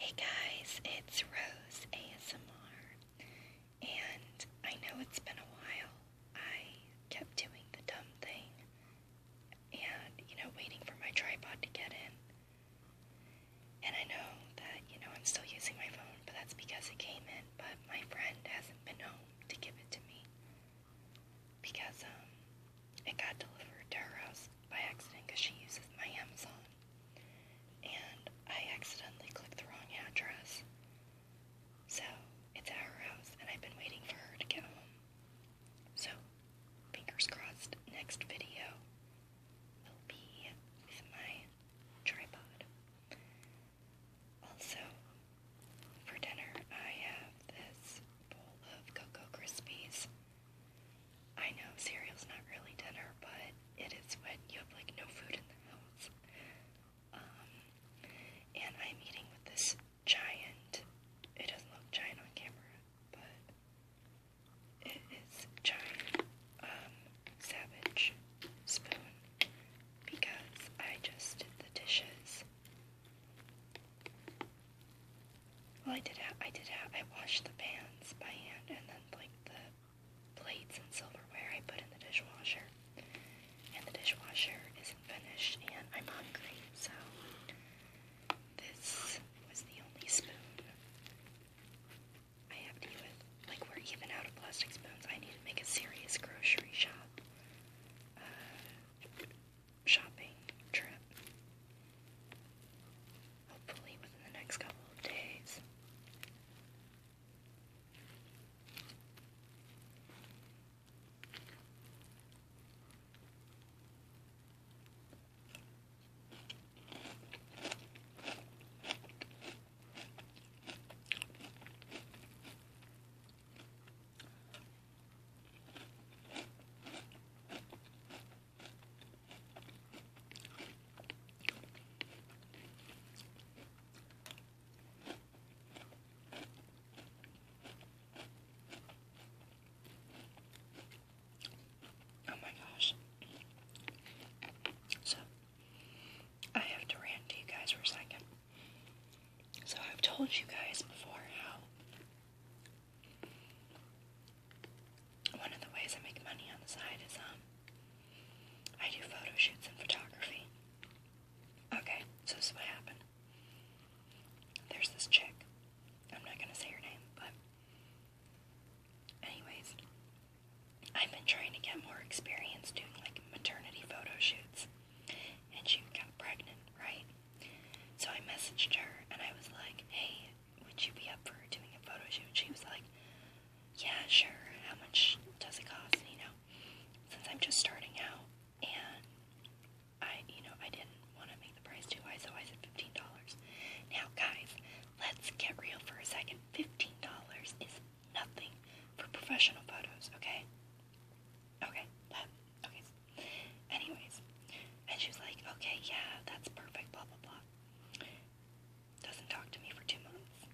Hey guys, it's Rose ASMR, and I know it's been a while. I kept doing the dumb thing and, you know, waiting for my tripod to get in. And I know that, you know, I'm still using my phone, but that's because it came in, but my friend hasn't been home to give it to me because, um, it got delivered to her house by accident because she uses my Amazon. And I accidentally clicked the wrong address. So it's at her house, and I've been waiting for her to get home. So, fingers crossed, next video will be with my tripod. Also, for dinner, I have this bowl of Cocoa Krispies I know cereal's not really dinner, but it is when you have like no food in the house. Um, and I'm eating with this giant, it doesn't look giant on camera, but it is giant, um, savage spoon because I just did the dishes well, I did have, I did have, I washed the pans by hand, and then like the plates and silverware I put in the dishwasher. And the dishwasher isn't finished, and I'm hungry, so this was the only spoon I have to eat with. Like, we're even out of plastic spoons. I need to make a serious grocery shop. Uh, shopping trip. Hopefully within the next couple of days. Oh my gosh. So, I have to rant to you guys for a second. So, I've told you guys before how one of the ways I make money on the side is, um, I do photo shoots and photography. Okay, so this is what happened. There's this chick. I'm not gonna say her name, but anyways, I've been trying to get more experience doing like maternity photo shoots, and she got pregnant, right? So I messaged her and I was like, hey, would you be up for doing a photo shoot? She was like, yeah, sure. How much does it cost? You know, since I'm just starting out and I, you know, I didn't want to make the price too high, so I said $15. Now, guys, let's get real for a second. $15 is nothing for professional photos, okay? Okay, that, okay, Anyways, and she was like, okay, yeah, that's perfect, blah, blah, blah. Doesn't talk to me for two months.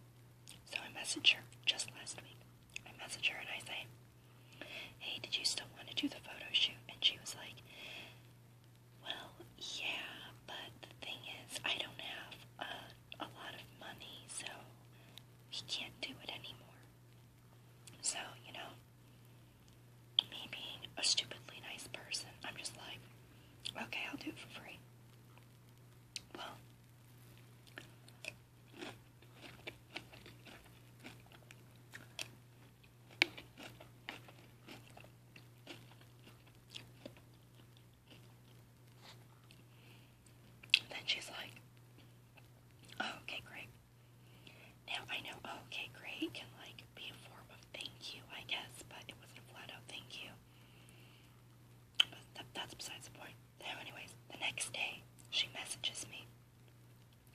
So I messaged her just last week. I messaged her and I say, hey, did you still want to do the photo shoot? And she was like, well, yeah, but the thing is, I don't have a, a lot of money, so we can't do it anymore. So, you know, me being a stupidly nice person, I'm just like, okay, I'll do it for free. Well, and then she's like, oh, okay, great. Now I know, oh, okay, great can like be a form of thank you, I guess, but it wasn't a flat out thank you. But that's besides the point. So, anyways, the next day she messages me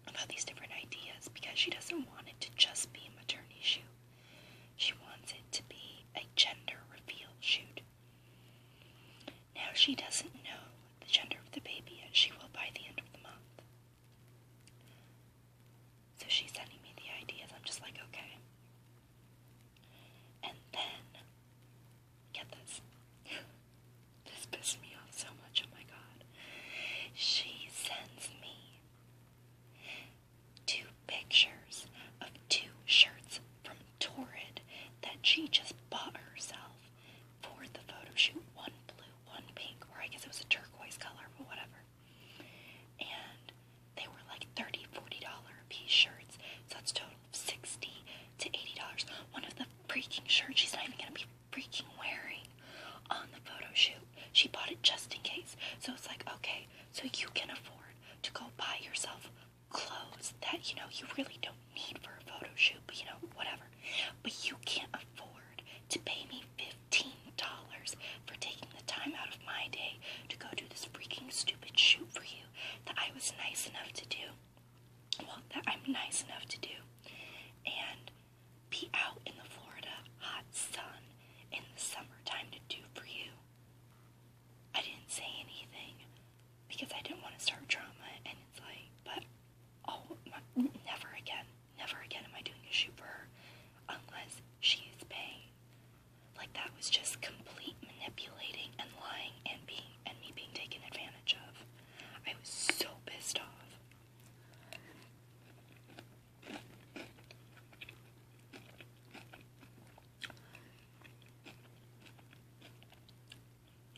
about these different ideas because she doesn't want it to just be a maternity shoot. She wants it to be a gender reveal shoot. Now she doesn't know the gender of the baby as she will by the end of the month. So she's sending me the ideas. I'm just like, okay. And then, get this. this pissed me off so much. Oh my god. She sends me two pictures of two shirts torrid that she just bought herself for the photo shoot one blue, one pink, or I guess it was a turquoise color, but whatever. And they were like 30 $40 a piece shirts, so that's total of 60 to $80. One of the freaking shirts she's not even gonna be freaking wearing on the photo shoot. She bought it just in case. So it's like, okay, so you can afford to go buy yourself clothes that you know you really don't need for a photo shoot, but you know, whatever. But you can't afford to pay me $15 for taking the time out of my day to go do this freaking stupid shoot for you that I was nice enough to do. Well, that I'm nice enough to do. And be out in the Florida hot sun in the summertime to do for you. I didn't say anything because I didn't want to start drama, and it's like, but oh, my, never again, never again am I doing a shoot for her unless she is paying. Like that was just complete manipulating and lying and being and me being taken advantage of. I was so pissed off.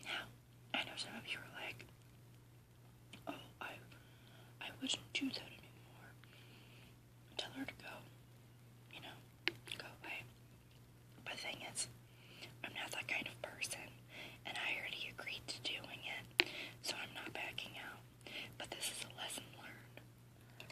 Now, I know some of you are like, oh, I, I wouldn't do that anymore. Tell her to go. You know, go away. But the thing is, I'm not that kind of person, and I already agreed to doing it, so I'm not backing out. But this is a lesson learned.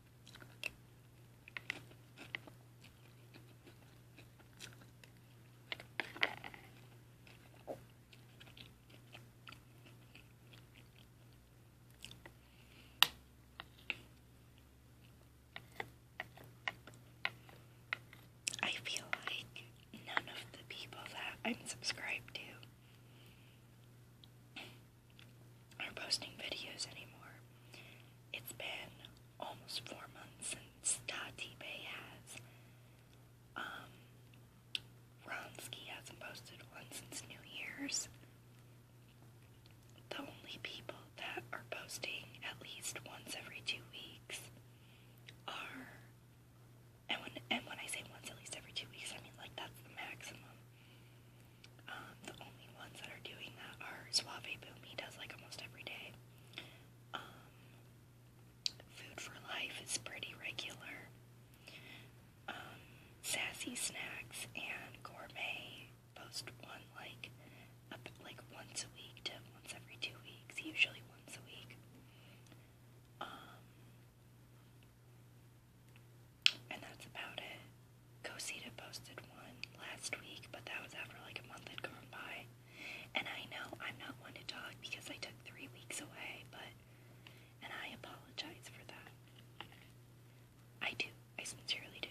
I feel like none of the people that I'm subscribed to or posting videos anymore. It's been almost four months since Tati Bey has. Um, Ronsky hasn't posted one since New Year's. The only people that are posting at least once every two weeks are, and when and when I say once at least every two weeks, I mean like that's the maximum. Um, the only ones that are doing that are Suave Boom. He does like almost every day. Um, Food for Life is pretty regular. Um, Sassy Snacks and Gourmet post one like up like once a week to once every two weeks, usually once a week. Um, and that's about it. Cosita posted one last week, but that was after like a month had gone by. And I know I'm not one to talk because I took three weeks away, but. And I apologize for that. I do. I sincerely do.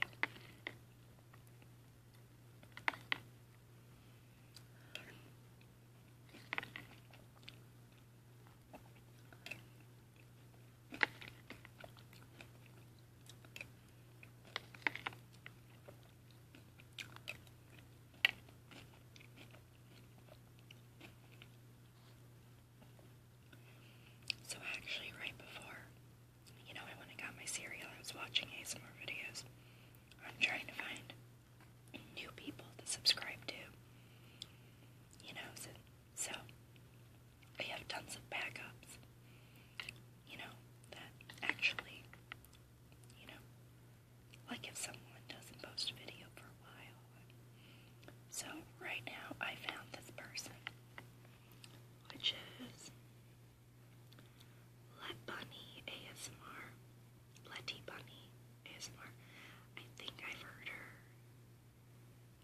So actually, right before, you know, I went and got my cereal, I was watching ASMR videos. I'm trying to find new people to subscribe to. You know, so, we have tons of backups. You know, that actually, you know, like if someone doesn't post a video for a while. So right now I found this person, which is Let Bunny ASMR, Letty Bunny ASMR. I think I've heard her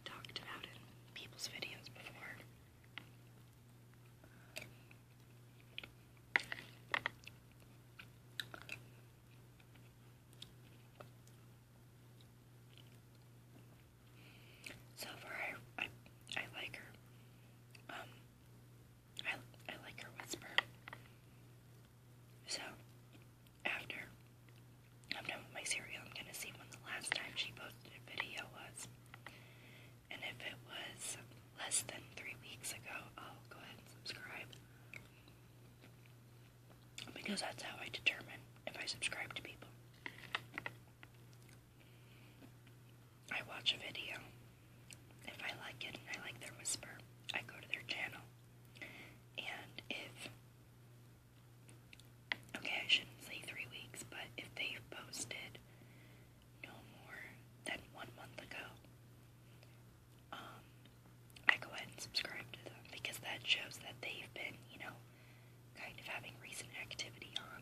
talked about in people's videos before. So far, I, I, I like her. Um, I, I like her whisper. So, after I'm done with my cereal, I'm gonna see when the last time she posted a video was. And if it was less than three weeks ago, I'll go ahead and subscribe. Because that's how I determine if I subscribe to people. I watch a video. If I like it and I like their whisper, I go to their channel. And if, okay, I shouldn't say three weeks, but if they've posted no more than one month ago, um, I go ahead and subscribe to them because that shows that they've been, you know, kind of having recent activity on.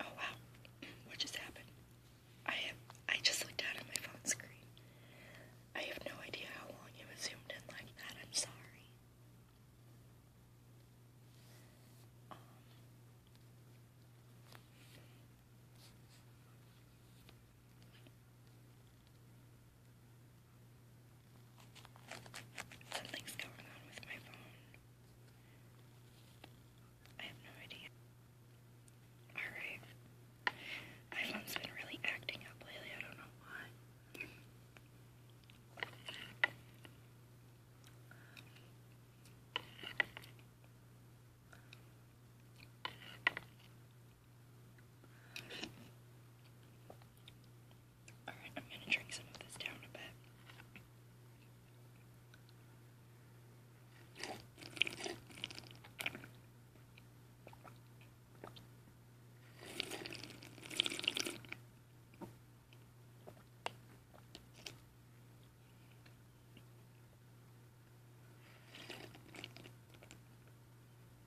Oh wow, what just happened? I have I just looked down at my phone screen. I have no idea how long you was zoomed in like that. I'm sorry. Um, Something's going on with my phone. I have no idea. Alright. My has been really acting up lately. I don't know why. Alright, I'm gonna drink some of this down a bit.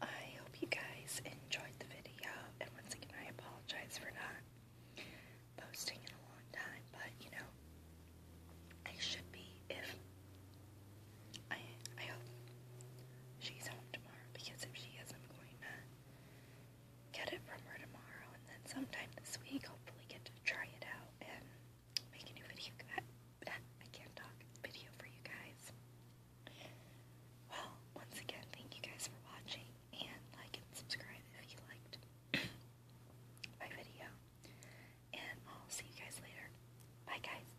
Well, I hope you guys enjoyed the video, and once again, I apologize for not posting in a long time, but you know, I should be if I I hope she's home tomorrow because if she is, I'm going to get it from her tomorrow, and then sometime this week, hopefully, get to try it out and make a new video. I can't talk video for you guys. Well, once again, thank you guys for watching and like and subscribe if you liked my video. And I'll see you guys later. Bye, guys.